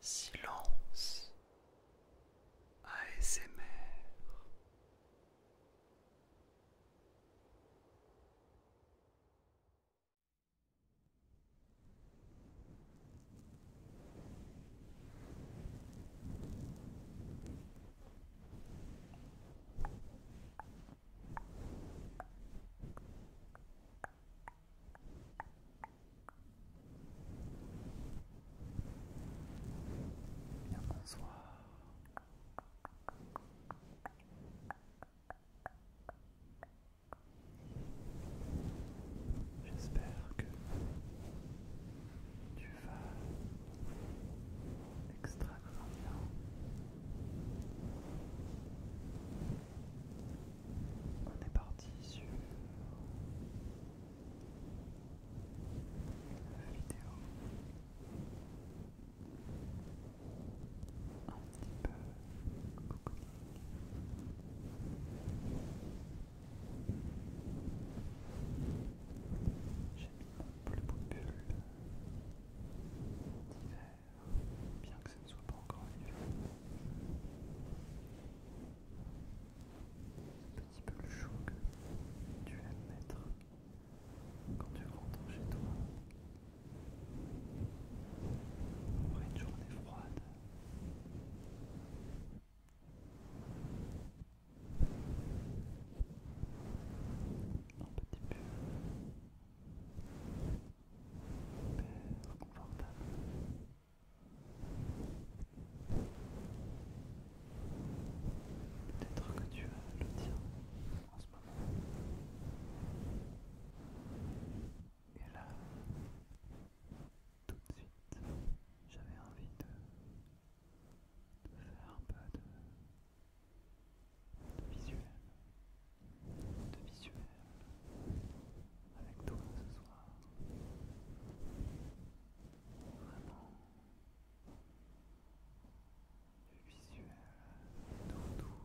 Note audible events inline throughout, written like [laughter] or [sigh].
Silence ASMR Bien bonsoir. J'espère que tu vas extrêmement bien. On est parti sur la vidéo un petit peu J'ai mis mon plus de bulles d'hiver bien que ce ne soit pas encore vivant C'est un petit peu le chaud que tu aimes mettre quand tu rentres chez toi. Après une journée froide. Un petit peu. Peut-être que tu as le tien en ce moment. Et là, tout de suite, j'avais envie de, de faire un peu de de visuel, de visuel avec toi ce soir. Vraiment du visuel de retour. Tout, tout,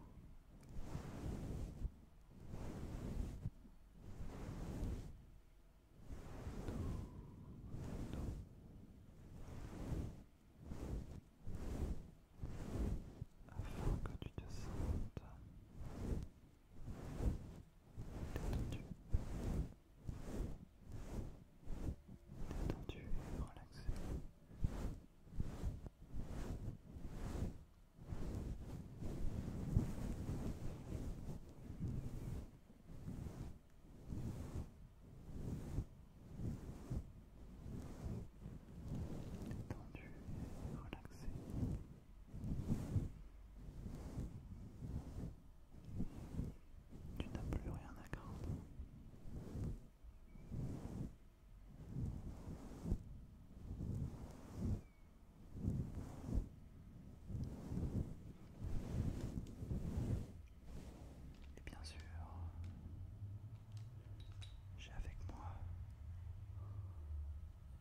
afin que tu te sentes détendu, détendu et relaxé tendu relaxé. Tu n'as plus rien à craindre. Et bien sûr, j'ai avec moi,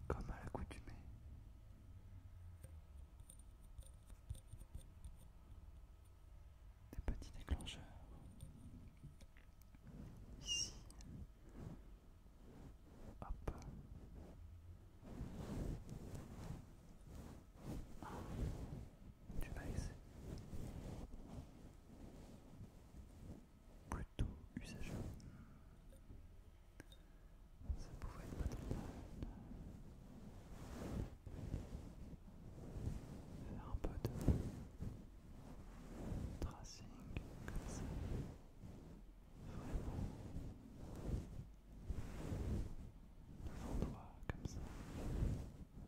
comme à l'accoutumée, des petits déclencheurs. Ici, du maïs plutôt usageux. Ça pouvait être pas trop mal. Faire un peu de tracing comme ça. Vraiment. Devant toi, comme ça.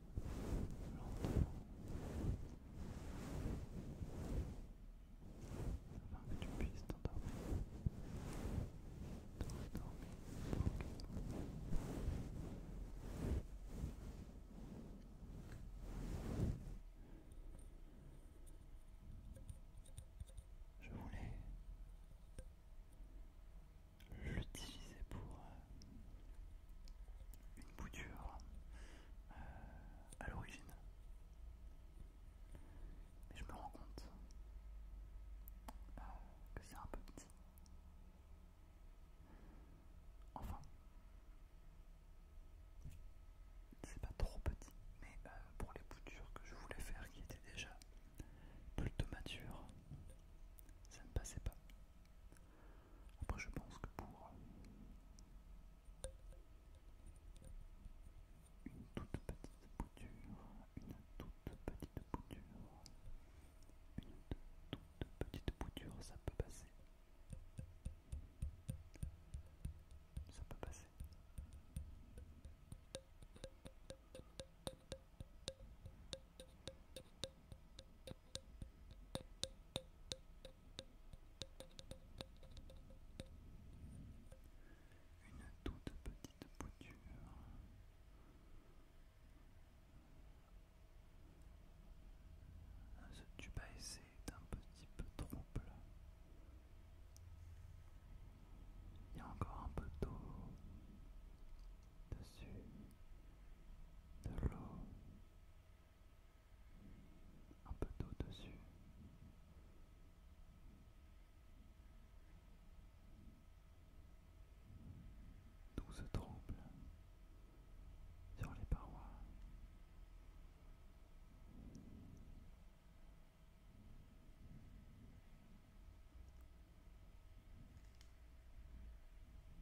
Lentement. Afin que tu puisses t'endormir. Je voulais l'utiliser pour euh, une bouture euh, à l'origine. Mais je me rends compte euh, que c'est un peu petit. Enfin, c'est pas trop petit, mais pour les boutures que je voulais faire qui étaient déjà plutôt matures, ça ne passait pas. Après, je pense que pour une toute petite bouture, une toute petite bouture, une toute petite bouture, ça peut passer. Ça peut passer. Une toute petite bouture. Ce tu à essai petit peu trouble. Il y a encore un peu d'eau dessus de l'eau, un peu d'eau dessus. Tout se tremble sur les parois.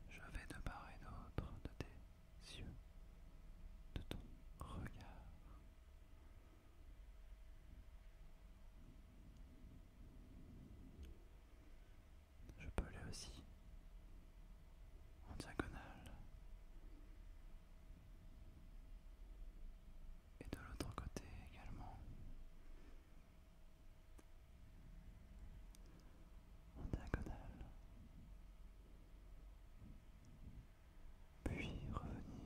Je vais de part et d'autre de tes yeux, de ton regard. Je peux aller aussi en diagonale et de l'autre côté également en diagonale, puis revenir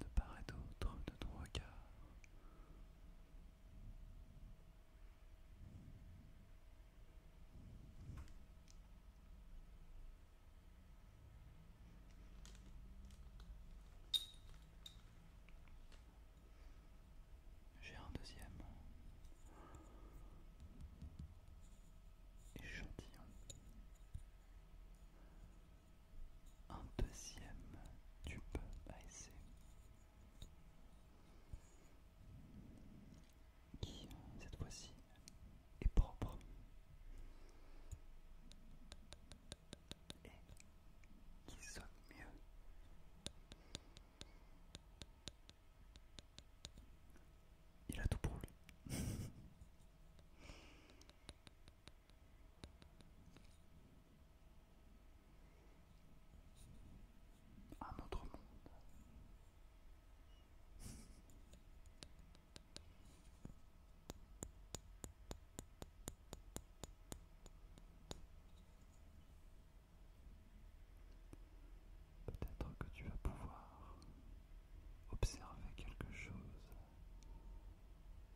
de part et d'autre de trois regard. J'ai un deuxième échantillon. Un deuxième Tu peux baisser qui, euh, cette fois-ci, est propre. Et qui sonne mieux. Il a tout pour lui. [laughs] Un autre monde. Peut-être que tu vas pouvoir observer quelque chose.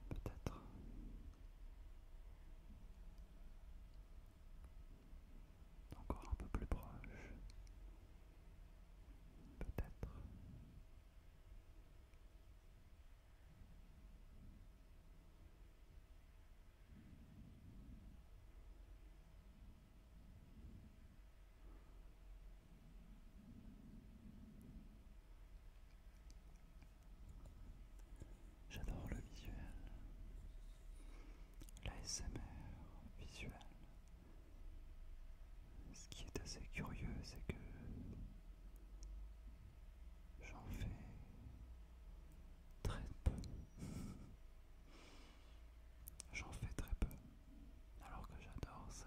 Peut-être. Encore un peu plus proche. Peut-être. J'adore le visuel, la SmR visuel. Ce qui est assez curieux, c'est que j'en fais très peu. [laughs] J'en fais très peu, alors que j'adore ça.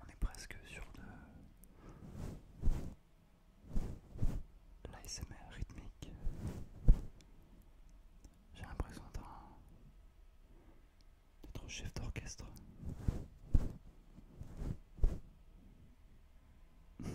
On est presque sur de l'ASMR rythmique. J'ai l'impression d'être chef d'orchestre. [laughs]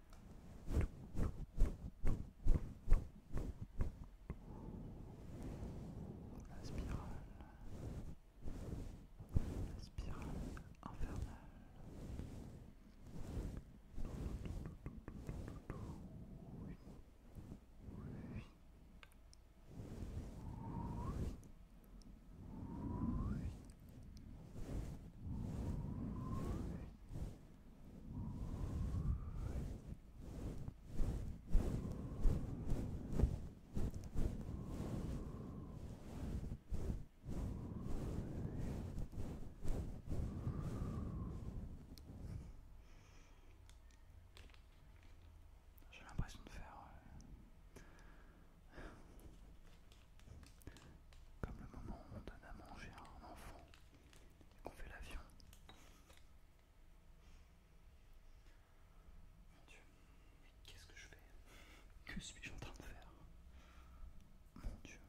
La spirale, infernale. J'ai l'impression de faire euh, comme le moment où on donne à manger à un enfant et qu'on fait l'avion. Mon Dieu, mais qu'est-ce que je fais Que suis-je en train de faire Mon Dieu.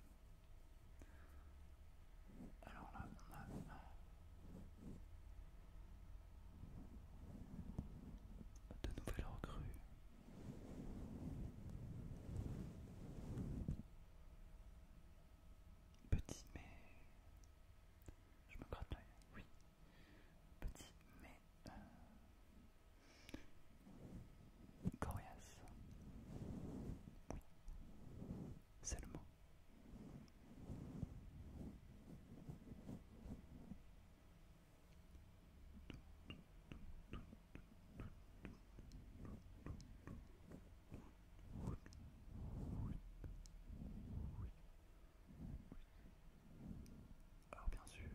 Alors là, on a... De nouvelles recrues. Petit mais... Je me gratte oui. Petit mais... Euh, coriace. C'est le mot. Alors bien sûr,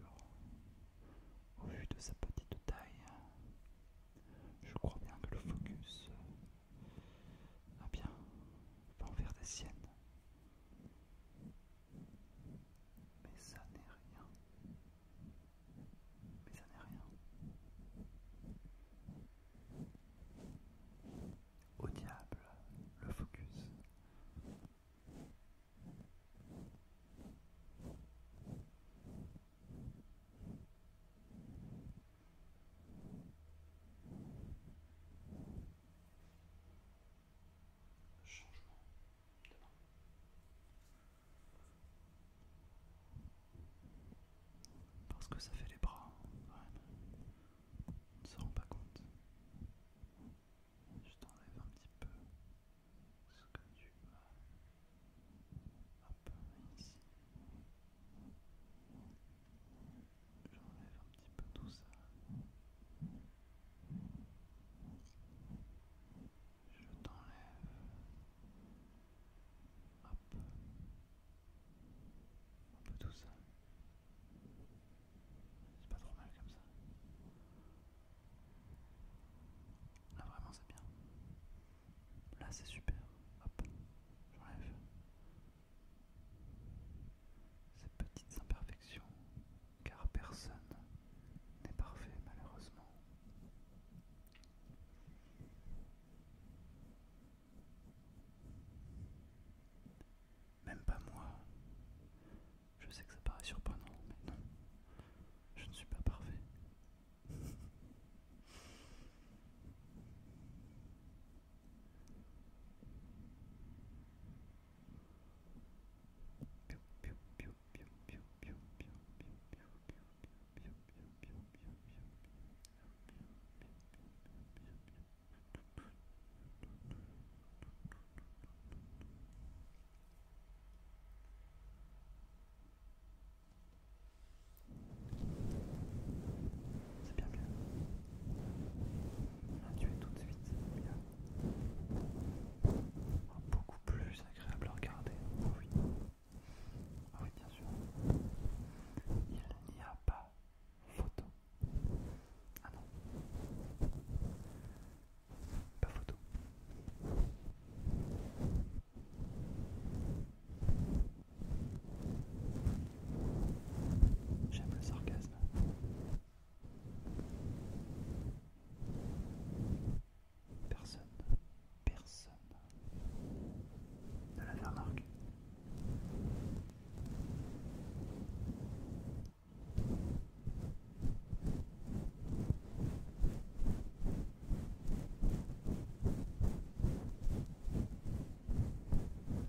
au vu de sa petite taille, je crois bien que le focus va eh bien va envers des siennes. Mais ça n'est rien. Mais ça n'est rien. Au diable, le focus. Changement parce que ça fait les bras, hein, On ne se rend pas compte. Je t'enlève un petit peu ce que tu as. Hop, ici. J'enlève un petit peu tout ça je t'enlève. Hop. Un peu tout ça. C'est pas trop mal comme ça. Là vraiment c'est bien. Là c'est super. Hop. J'enlève ces petites imperfections car personne n'est parfait malheureusement. Même pas moi. Je sais que ça paraît surprenant, mais non, je ne suis pas parfait. C'est bien bien. On a tout de suite. Bien. beaucoup plus c'est agréable à regarder. Ah oui. Ah oui, bien sûr. Il n'y a pas photo. Ah non. Pas photo. J'aime le sarcasme. Personne, personne ne la remarqué.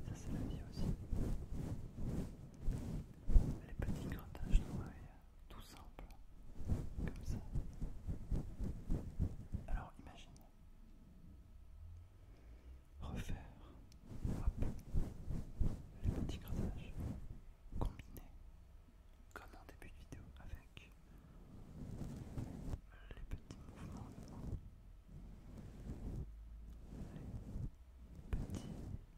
Ça c'est la vie aussi. Les petits grattages noires tout simple, comme ça. Alors imagine. Refaire les petits grattages combinés comme en début de vidéo avec les petits mouvements les petits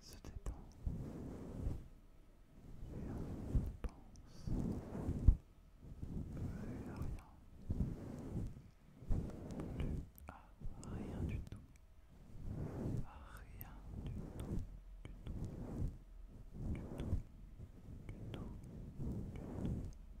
se détend rien ne pense plus rien, plus à rien du tout, à rien du tout, du tout, du tout, du tout, du tout, du tout.